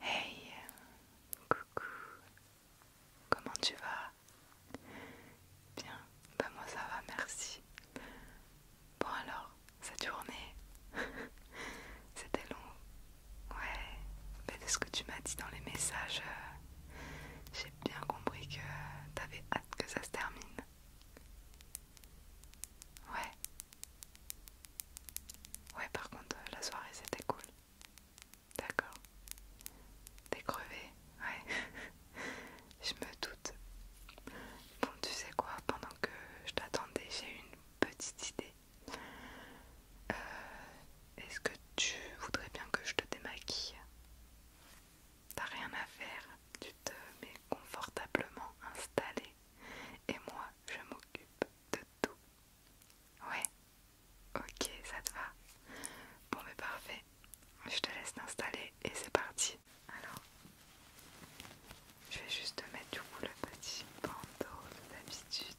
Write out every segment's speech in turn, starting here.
Hey, coucou, comment tu vas Bien, bah moi ça va, merci. Bon alors, cette journée, c'était long. Ouais, mais de ce que tu m'as dit dans les messages, euh, j'ai bien compris que t'avais hâte que ça se termine. Ouais. Ouais, par contre, euh, la soirée c'était cool. D'accord. T'es crevé Ouais. je me doute. Bon, tu sais quoi, pendant que je t'attendais, j'ai eu une petite idée. Euh, est-ce que tu voudrais bien que je te démaquille T'as rien à faire, tu te mets confortablement installé et moi je m'occupe de tout. Ouais, ok, ça te va. Bon, mais parfait, je te laisse t'installer et c'est parti. Alors, je vais juste te mettre du coup le petit bandeau d'habitude.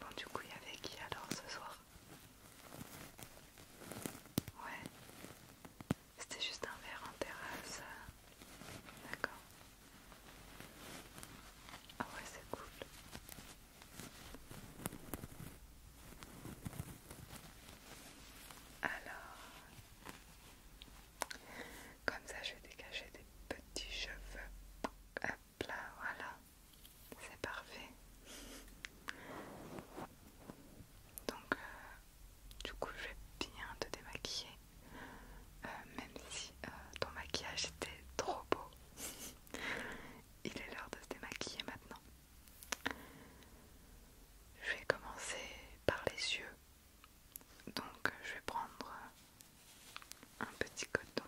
Bon, du coup, il y avait qui alors ce soir Ouais. C'était juste un verre en terrasse. D'accord. Ah ouais, c'est cool. Alors, comme ça, je vais dégager des petits cheveux. Hop là, voilà. C'est parfait. Donc, euh, du coup, je vais bien te démaquiller. Euh, même si euh, ton maquillage était trop beau. Il est l'heure de se démaquiller maintenant. Je vais commencer par les yeux. Donc euh, je vais prendre euh, un petit coton.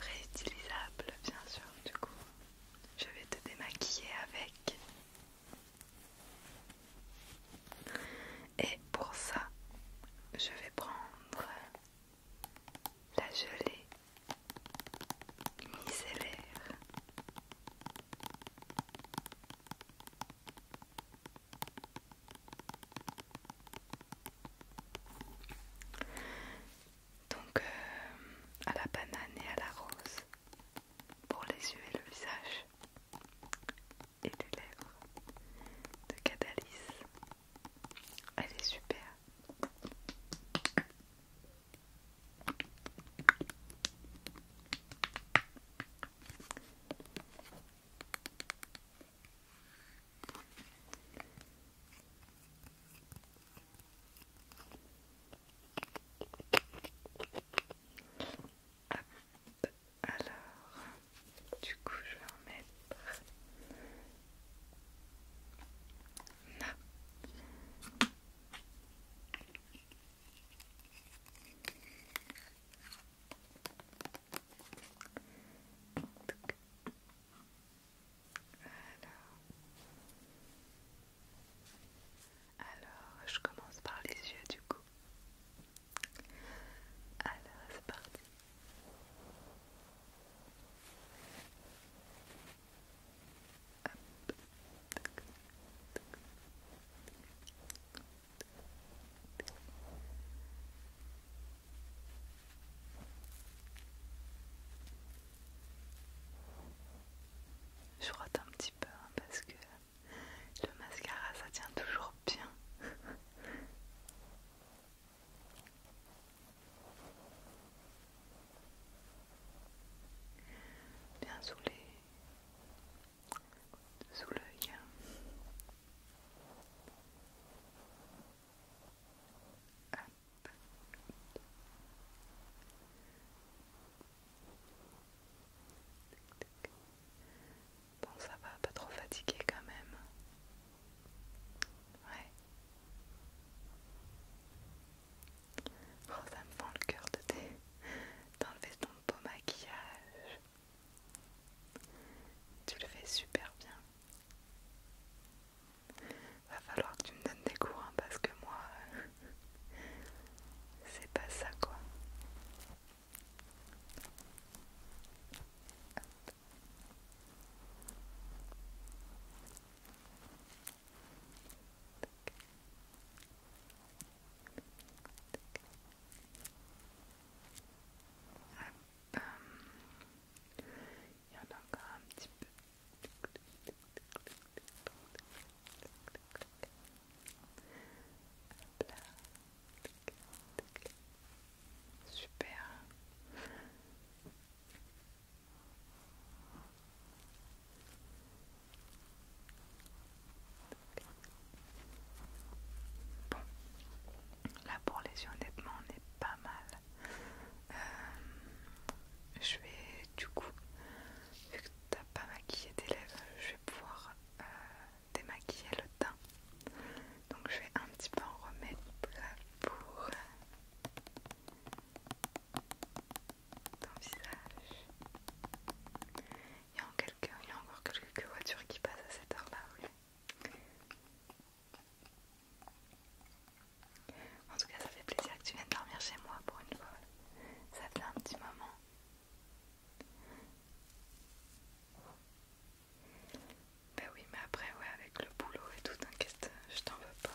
Réutilisable bien sûr du coup. Je vais te démaquiller avec. Et pour ça, je vais prendre euh, la gelée donc euh, à la banane et à la rose pour les yeux et le visage et les lèvres de Catalyse elle est super. Alors, du coup, je vais en mettre alors, je commence par les yeux du coup. Alors, c'est parti. Je rate un petit peu hein, parce que le mascara ça tient toujours bien bien sous les sous l'œil Bon ça va, pas trop fatigué quand même. Ouais. Oh, ça me fend le cœur de t'enlever ton beau maquillage. Tu le fais super bien. Va falloir que tu me donnes des cours parce que moi, euh, c'est pas ça quoi. Il y en a encore un petit peu. Super. Bon, là pour les yeux, honnêtement, on est pas mal. Euh, je vais du coup, vu que t'as pas maquillé tes lèvres, je vais pouvoir euh, démaquiller le teint. Donc je vais un petit peu en remettre pour ton visage. Il y a, encore quelques voitures qui passent à cette heure-là. Oui. En tout cas, ça fait plaisir que tu viennes dormir chez moi pour une fois. Ça fait un petit moment. Ben oui, mais après, ouais, avec le boulot et tout, t'inquiète, je t'en veux pas.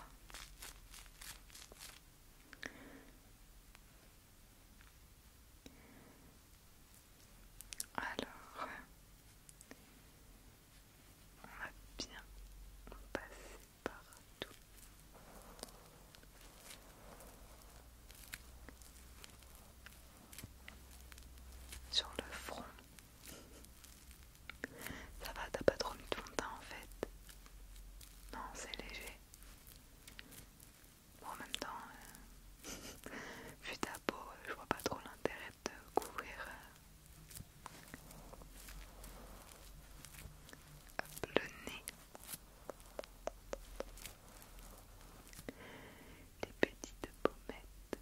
Alors, on va bien passer partout. Sur le front, ça va, t'as pas trop mis de teint en fait. Non, c'est léger. en même temps, euh, vu ta peau, euh, je vois pas trop l'intérêt de couvrir. le nez. Les petites pommettes.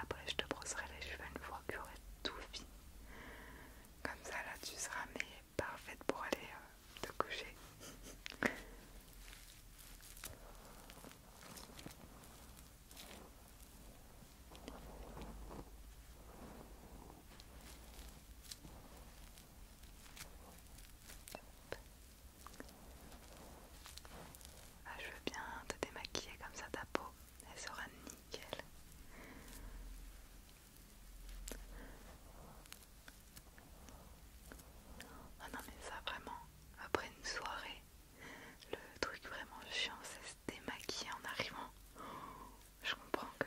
Après, je te brosserai les cheveux une fois que tu auras tout fini. Comme ça, là, tu seras mais parfaite pour aller euh, te coucher. Ah, je veux bien te démaquiller comme ça ta peau, elle sera nickel. Ah non mais ça vraiment, après une soirée, le truc vraiment chiant c'est se démaquiller en arrivant. Je comprends que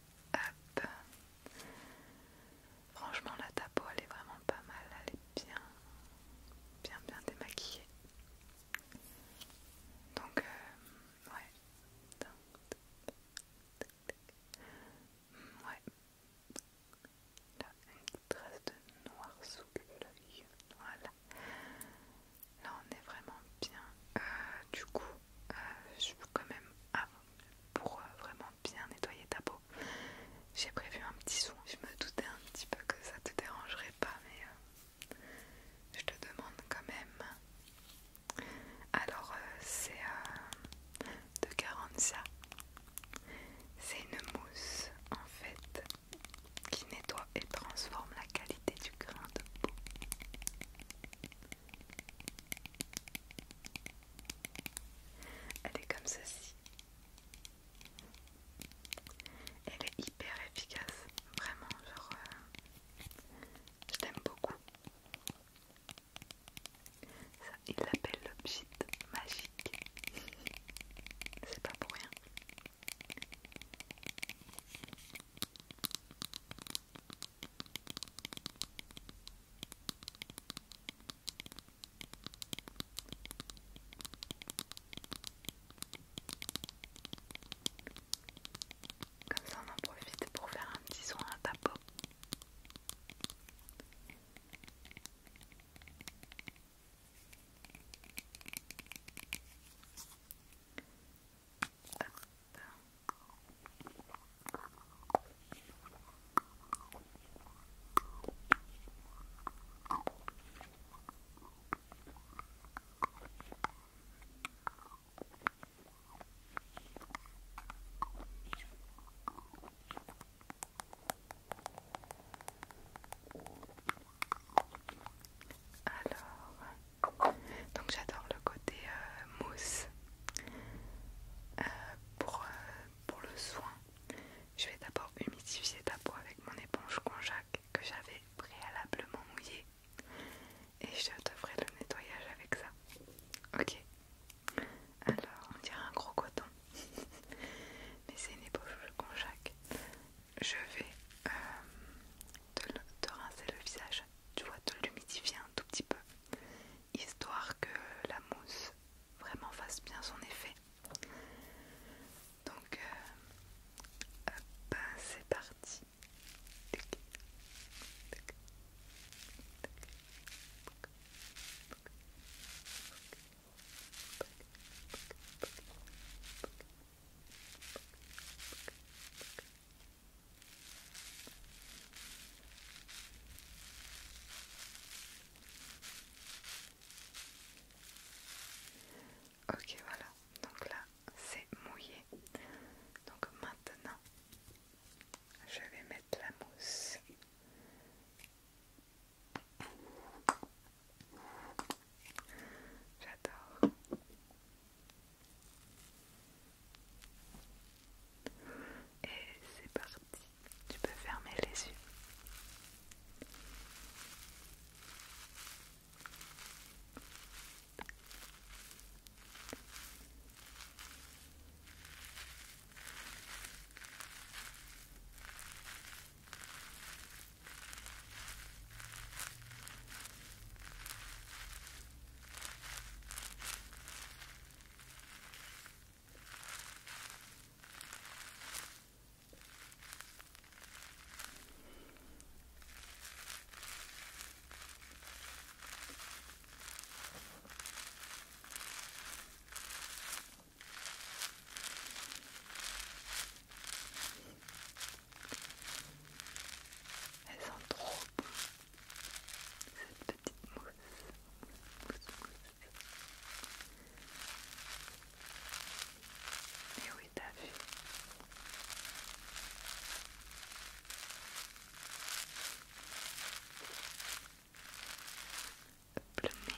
Hop. Franchement, la ta peau elle est vraiment pas mal, elle est bien, bien, bien démaquillée. Donc, euh, ouais. Ouais. Là, une trace de noir sous l'œil. Voilà. Là, on est vraiment bien. Euh, du coup, euh, je veux quand même ah, pour euh, vraiment bien nettoyer ta peau j'ai prévu un petit son. je me doutais un petit peu que ça te dérangerait pas mais euh, je te demande quand même alors c'est de ça c'est une mousse en fait qui nettoie et transforme la qualité du grain de peau elle est comme ceci. Elle est hyper efficace, vraiment, genre, euh, je t'aime beaucoup. Ça, il l'appelle l'objet magique. C'est pas pour rien. Comme ça, on en profite pour faire un petit soin à ta peau. Alors, donc j'adore le côté euh, mousse euh, euh, pour, le soin, je vais d'abord humidifier ta peau avec mon éponge conjac que j'avais préalablement mouillée et je te ferai le nettoyage avec ça. Ok. Alors, on dirait un gros coton, mais c'est une éponge conjac. Je vais euh, te rincer le visage tu vois, de l'humidifier un tout petit peu, histoire que la mousse vraiment fasse bien son effet. Donc, c'est parti. Ok voilà, donc là c'est mouillé. Donc maintenant je vais mettre la mousse. J'adore. Et c'est parti, tu peux fermer les yeux. Elles sont trop cette petite mousse. mousse, mousse. Et oui, t'as vu. Le nez.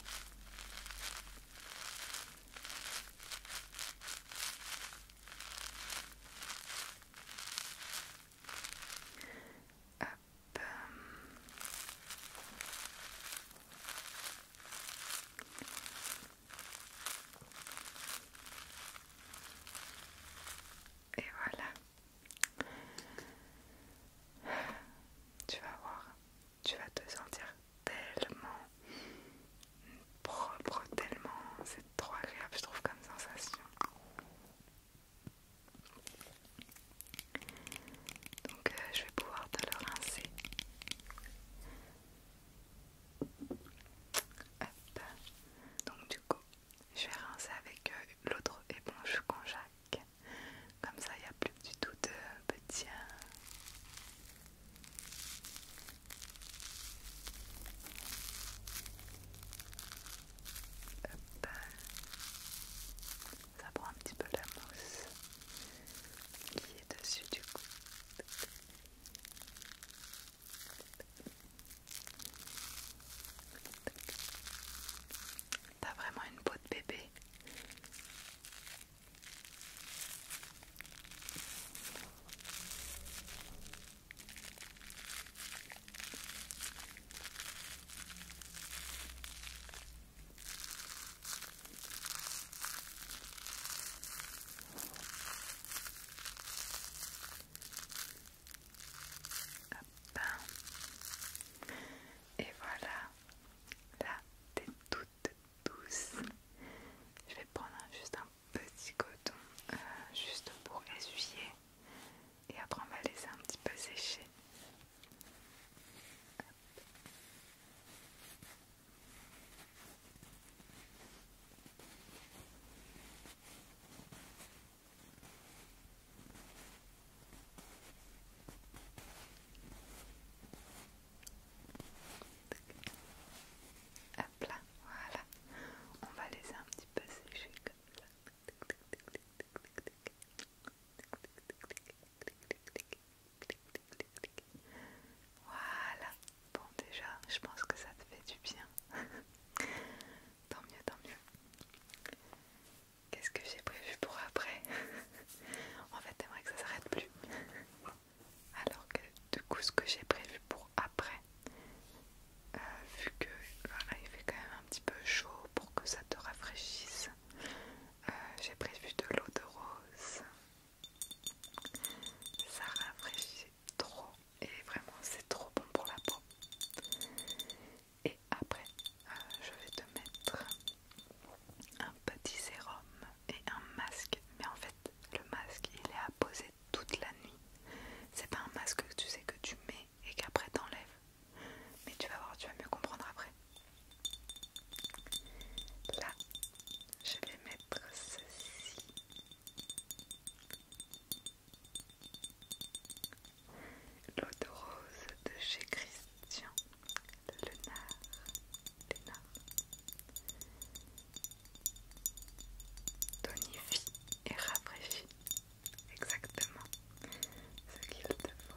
Et voilà. Tu vas voir, tu vas te sentir tellement propre, tellement c'est trop agréable, je trouve comme sensation. Donc euh, je vais pouvoir te le rincer. Donc du coup, je vais rincer avec euh, l'autre éponge conjac. Comme ça, il n'y a plus du tout de petits... Hein. Ça prend un petit peu la mousse qui est dessus du coup. T'as vraiment une peau de bébé. Et voilà, là t'es toute douce. Je vais prendre juste un petit coton euh, juste pour essuyer et après on va laisser un petit peu sécher voilà. On va laisser un petit peu sécher comme ça. Voilà. Bon déjà, je pense que ça te fait du bien. tant mieux, tant mieux. Qu'est-ce que j'ai prévu pour après En fait, j'aimerais que ça s'arrête plus. Alors que du coup, ce que j'ai prévu pour après, euh, vu que il fait quand même un petit peu chaud pour que ça te rafraîchisse, euh, j'ai prévu de l'eau de rose. Ça rafraîchit trop et vraiment c'est trop bon pour la peau. Et après, euh, je vais te mettre un petit sérum et un masque. Mais en fait, le masque il est à poser toute la nuit. C'est pas un masque que tu sais que tu mets et qu'après t'enlèves. Mais tu vas voir, tu vas mieux comprendre après. Là, je vais mettre ceci. L'eau de rose de chez Christian Le nard tonifie et rafraîchit exactement ce qu'il te faut.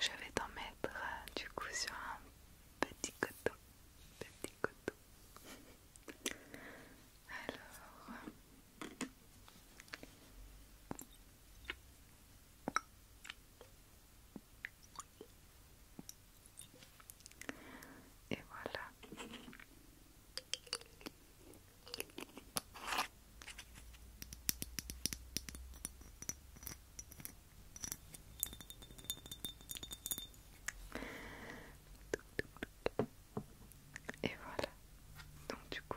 Je vais t'en mettre euh, du coup sur un petit coton. Petit coton. Alors. Et voilà. Et voilà. Donc du coup,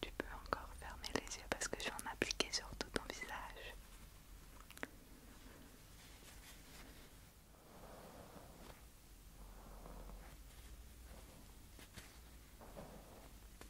tu peux encore fermer les yeux parce que je vais en appliquer sur tout ton visage.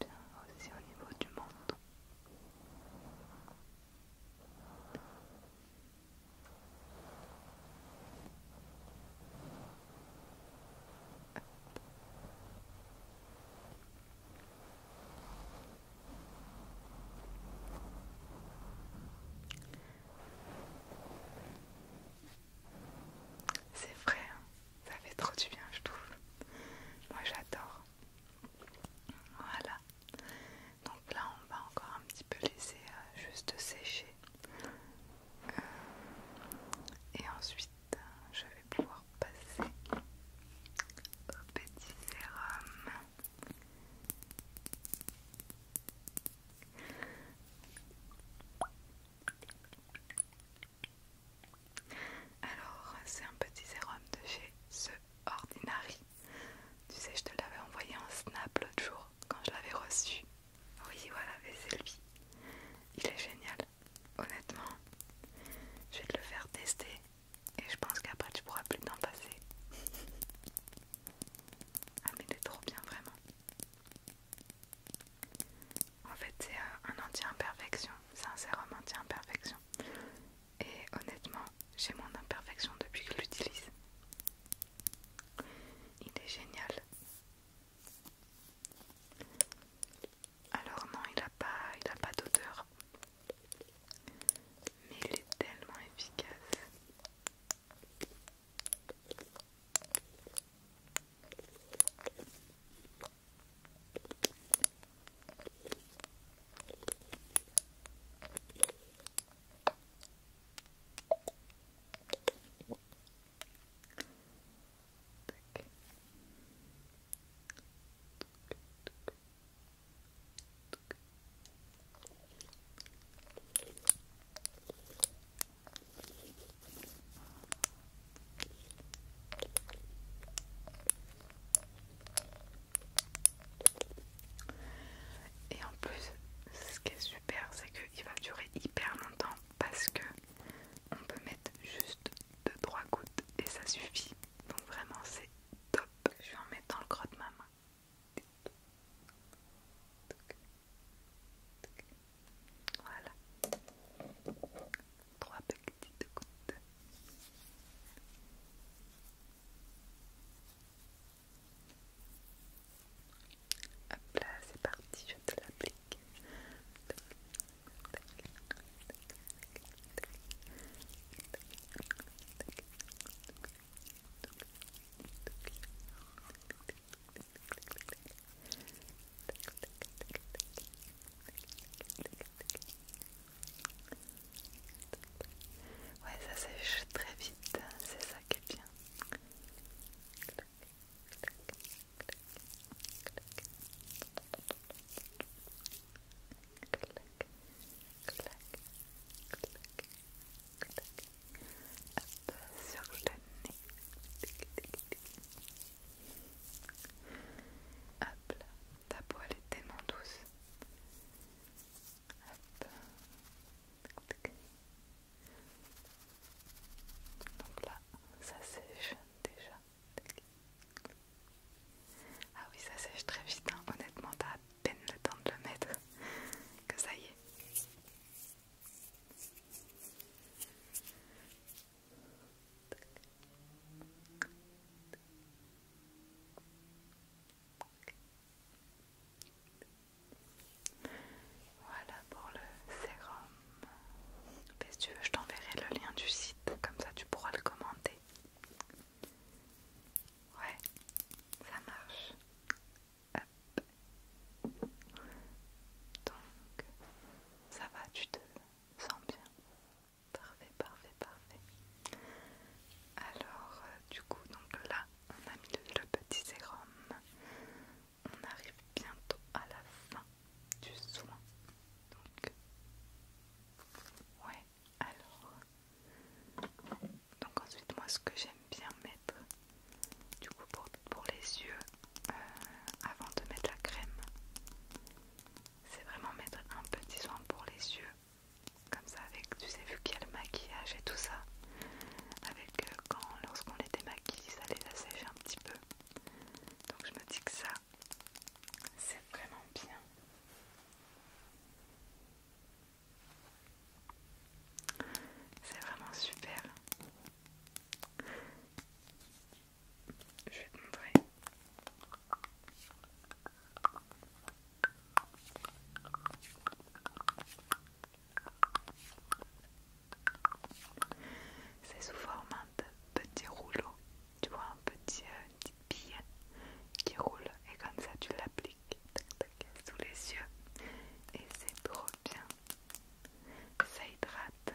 Bien aussi au niveau du menton. C'est vrai, hein. ça fait trop du bien, je trouve. Moi j'adore. Voilà. Donc là, on va encore un petit peu laisser euh, juste sécher. Euh, et ensuite, je vais pouvoir passer au petit sérum alors c'est un petit sérum de chez The Ordinary tu sais je te l'avais envoyé en snap l'autre jour quand je l'avais reçu oui voilà et c'est lui il est génial honnêtement je vais te le faire tester et je pense qu'après tu pourras plus t'en passer. ah mais t'es trop bien vraiment. En fait c'est euh, un anti-imperfection, c'est un sérum anti-imperfection. Et honnêtement j'ai moins d'imperfection depuis que je l'utilise. Il est génial. Alors non, il n'a pas, il a pas d'odeur. Mais il est tellement efficace. Et en plus, ce qui est super, c'est qu'il va durer hyper longtemps parce que on peut mettre juste de 3 gouttes et ça suffit. Donc vraiment c'est top. Je vais en mettre dans le creux de ma main. Voilà. Trois petites gouttes. Hop là, c'est parti, je te l'applique. Ouais, ça sèche très vite, hein, c'est ça qui est bien. Clac, clac, clac, Hop, sur le nez. Hop là, ta peau elle est tellement douce. Hop. Donc là, ça sèche déjà. Ah oui, ça sèche très vite, hein. honnêtement, t'as à peine le temps de le mettre que ça y est. Voilà pour le sérum si tu veux, je t'enverrai le lien du site, comme ça tu pourras le commenter. Ouais, ça marche. Donc, ça va, tu te sens bien. Parfait, parfait, parfait. Alors, euh, du coup, donc là, on a mis le petit sérum. On arrive bientôt à la fin du soin. Donc, ouais, alors. Donc, ensuite, moi, ce que j'aime bien mettre, du coup, pour, les yeux, euh, avant de mettre la crème, c'est vraiment mettre un petit soin pour les yeux. Comme ça, avec, tu sais, vu qu'il y a le maquillage et tout ça, avec euh, quand, lorsqu'on les démaquille, ça les assèche un petit peu. Donc je me dis que ça, c'est vraiment bien. C'est vraiment super. Je vais te montrer. C'est sous forme de petit rouleau tu vois un petit, euh, bille qui roule et comme ça tu l'appliques sous les yeux et c'est trop bien ça hydrate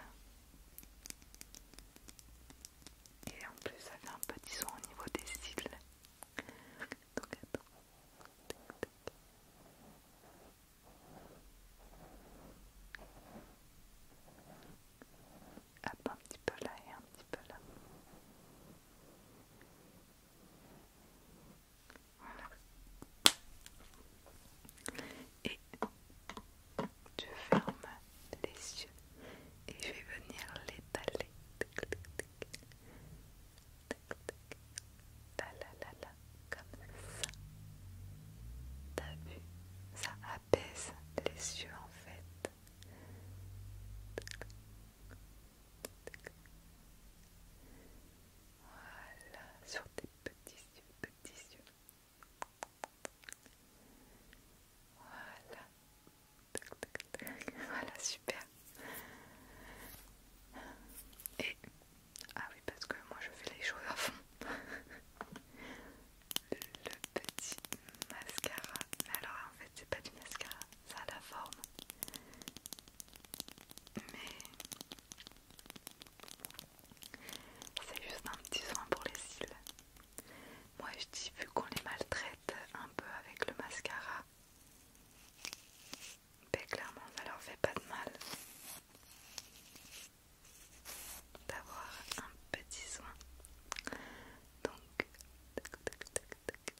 et en plus ça fait un petit son au niveau des cils un petit peu là et un petit peu là. Voilà. Et je ferme les yeux et je vais venir l'étaler. ta la la comme ça. T'as vu Ça des les yeux en fait. Voilà, sur tes petits yeux, petits yeux. Voilà. Voilà, super. Et ah oui, parce que moi je fais les choses à fond le petit mascara. alors en fait c'est pas du mascara, ça a la forme. Mais c'est juste un petit soin pour les cils. Moi je dis vu qu'on les maltraite un peu avec le mascara, mais ben, clairement ça leur fait pas de mal d'avoir un petit soin. Donc, tac, tac, tac, tac,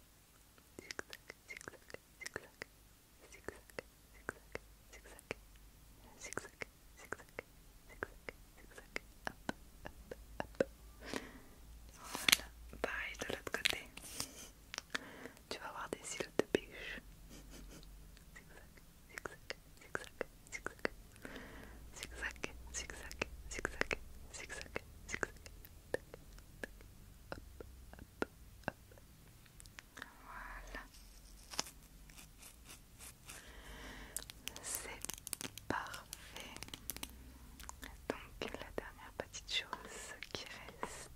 pareil de l'autre côté. Tu vas avoir des cils de pêche. c'est parfait. Donc la dernière petite chose qui reste,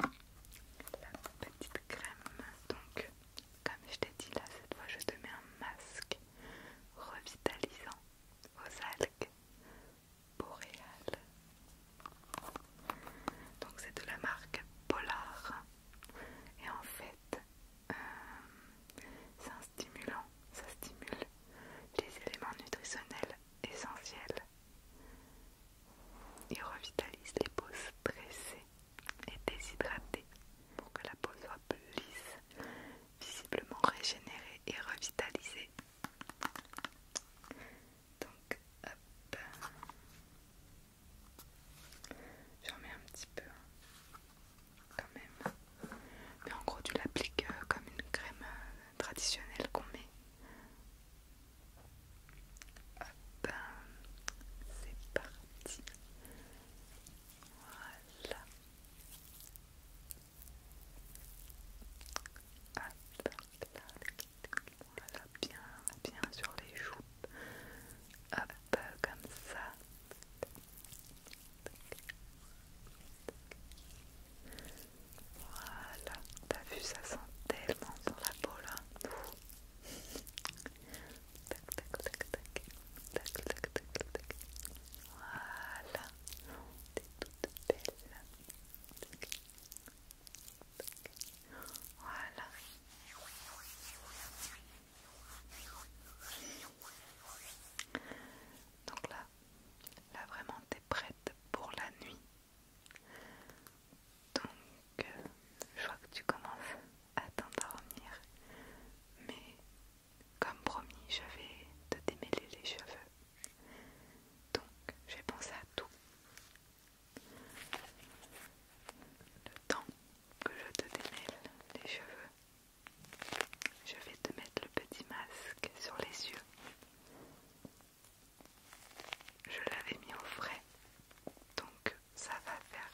la petite crème. Donc, comme je t'ai dit là, cette fois je te mets un masque revitalisant aux algues boréales. Donc, c'est de la marque Polar. Et en fait, euh, c'est un stimulant, ça stimule les éléments nutritionnels essentiels. et revitalise les peaux stressées et déshydrater pour que la peau soit plus lisse, visiblement régénérée et revitalisée. Donc, hop, j'en mets un petit peu hein, quand même. Mais en gros, tu l'appliques euh, comme une crème euh, traditionnelle qu'on met Hop, c'est parti. Voilà. Hop, voilà, bien, bien sur les joues. Hop, comme ça. Voilà, t'as vu, ça sent tellement sur la peau là. Tac, tac, tac, tac. Tac, tac, tac, tac. Voilà. T'es toute belle. Tac. Tac. Voilà. Donc là, là vraiment t'es prête pour la nuit. Donc, euh, je crois que tu commences à revenir. mais comme promis, je vais te démêler les cheveux. Donc, j'ai pensé à tout. Le temps que je te démêle les cheveux, je vais te mettre le petit masque sur les yeux. Je l'avais mis au frais, donc ça va faire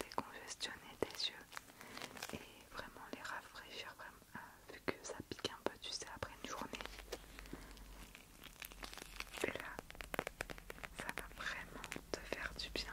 décongestionner tes yeux et vraiment les rafraîchir euh, vu que ça pique un peu tu sais après une journée et là ça va vraiment te faire du bien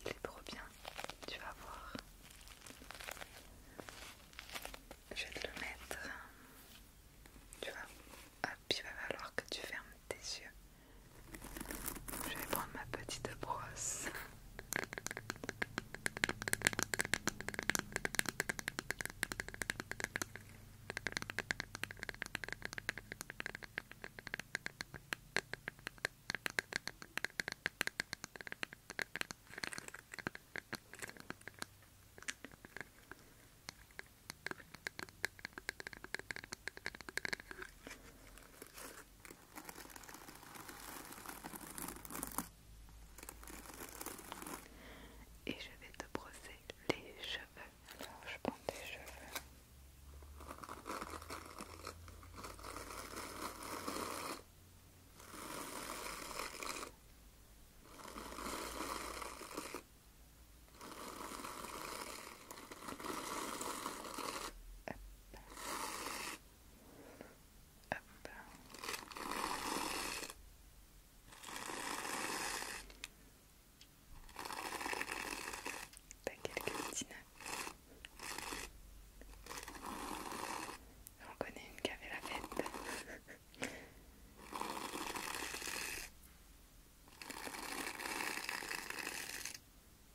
Il est trop bien, tu vas voir. Je vais te le mettre. Tu vas. Ah, il va falloir que tu fermes tes yeux. Je vais prendre ma petite brosse. Et je vais te brosser les cheveux. Alors je prends tes cheveux ben, T'as quelques On connaît une qui la fête.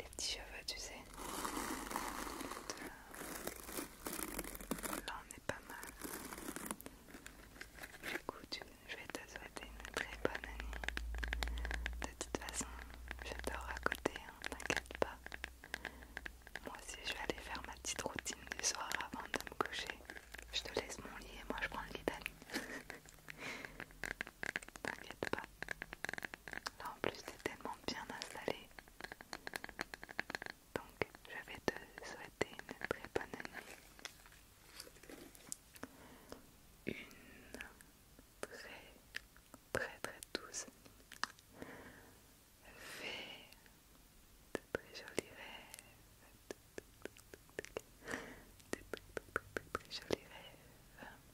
les petits cheveux, tu sais. Là, on est pas mal. Du coup, je vais te souhaiter une très bonne année. De toute façon, je à côté, hein, t'inquiète pas. Moi aussi, je vais aller faire ma petite routine du soir avant de me coucher. Je te laisse mon lit et moi je prends le lit d'année. T'inquiète pas en plus c'est tellement bien installé. Donc je vais te souhaiter une très bonne nuit. Une très très très douce nuit. Fais de très jolis rêves. De très, très, très, très jolis rêves.